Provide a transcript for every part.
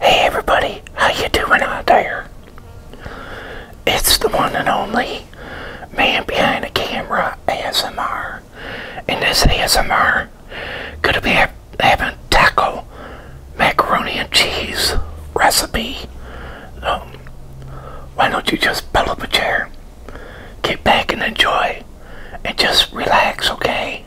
Hey everybody, how you doing out there? It's the one and only man behind the camera ASMR. And this ASMR gonna be ha having taco macaroni and cheese recipe. Um, why don't you just pull up a chair, get back and enjoy, and just relax, okay?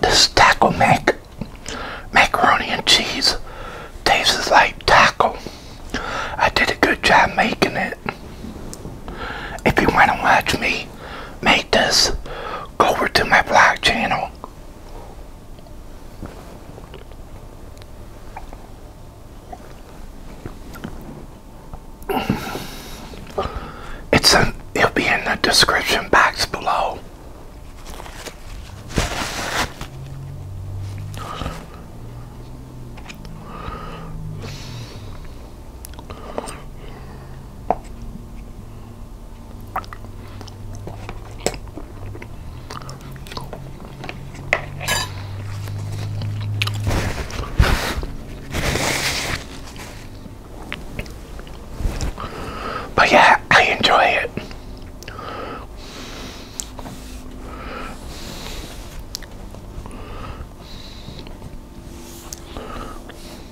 This taco mac macaroni and cheese tastes like taco. I did a good job making it. If you want to watch me make this, go over to my blog channel. It's in, it'll be in the description box below. But yeah, I enjoy it.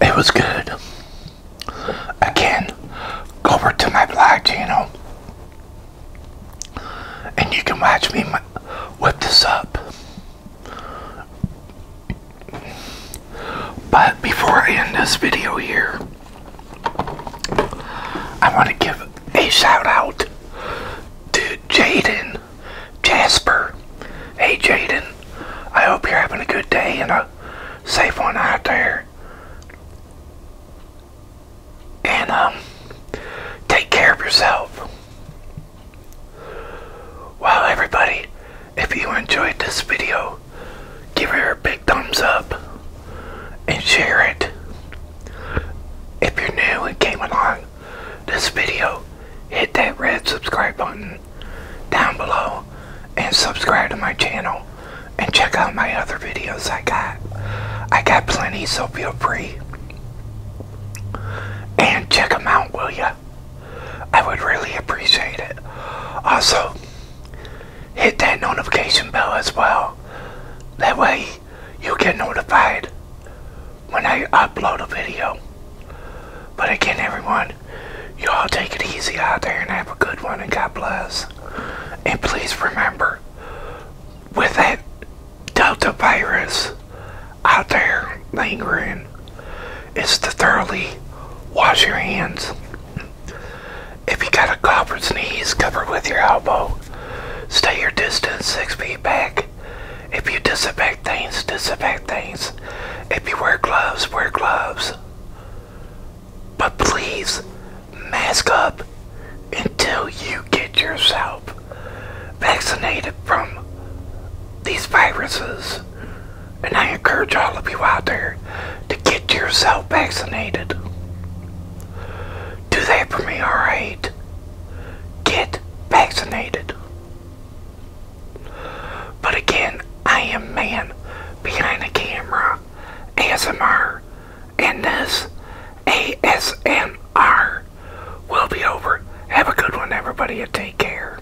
It was good. Again, go over to my blog channel and you can watch me whip this up. But before I end this video here, I want to give a shout out to Jaden Jasper. Hey Jaden, I hope you're having a good day and a safe one out there. And um, take care of yourself. Well, everybody, if you enjoyed this video, give her a big thumbs up and share it. If you're new and came along this video, hit that red subscribe button down below and subscribe to my channel and check out my other videos I got. I got plenty, so feel free. And check them out, will ya? I would really appreciate it. Also, hit that notification bell as well. That way you will get notified when I upload a video. But again, everyone, you all take it easy out there and have a good one and God bless. And please remember, with that Delta virus out there lingering, it's to thoroughly wash your hands if you got a cough or cover with your elbow. Stay your distance six feet back. If you disinfect things, disinfect things. If you wear gloves, wear gloves. But please, mask up until you get yourself vaccinated from these viruses and I encourage all of you out there to get yourself vaccinated. Do that for me, alright? Get vaccinated. But again, I am man behind the camera, ASMR, and this ASMR will be over. Have a good one, everybody, and take care.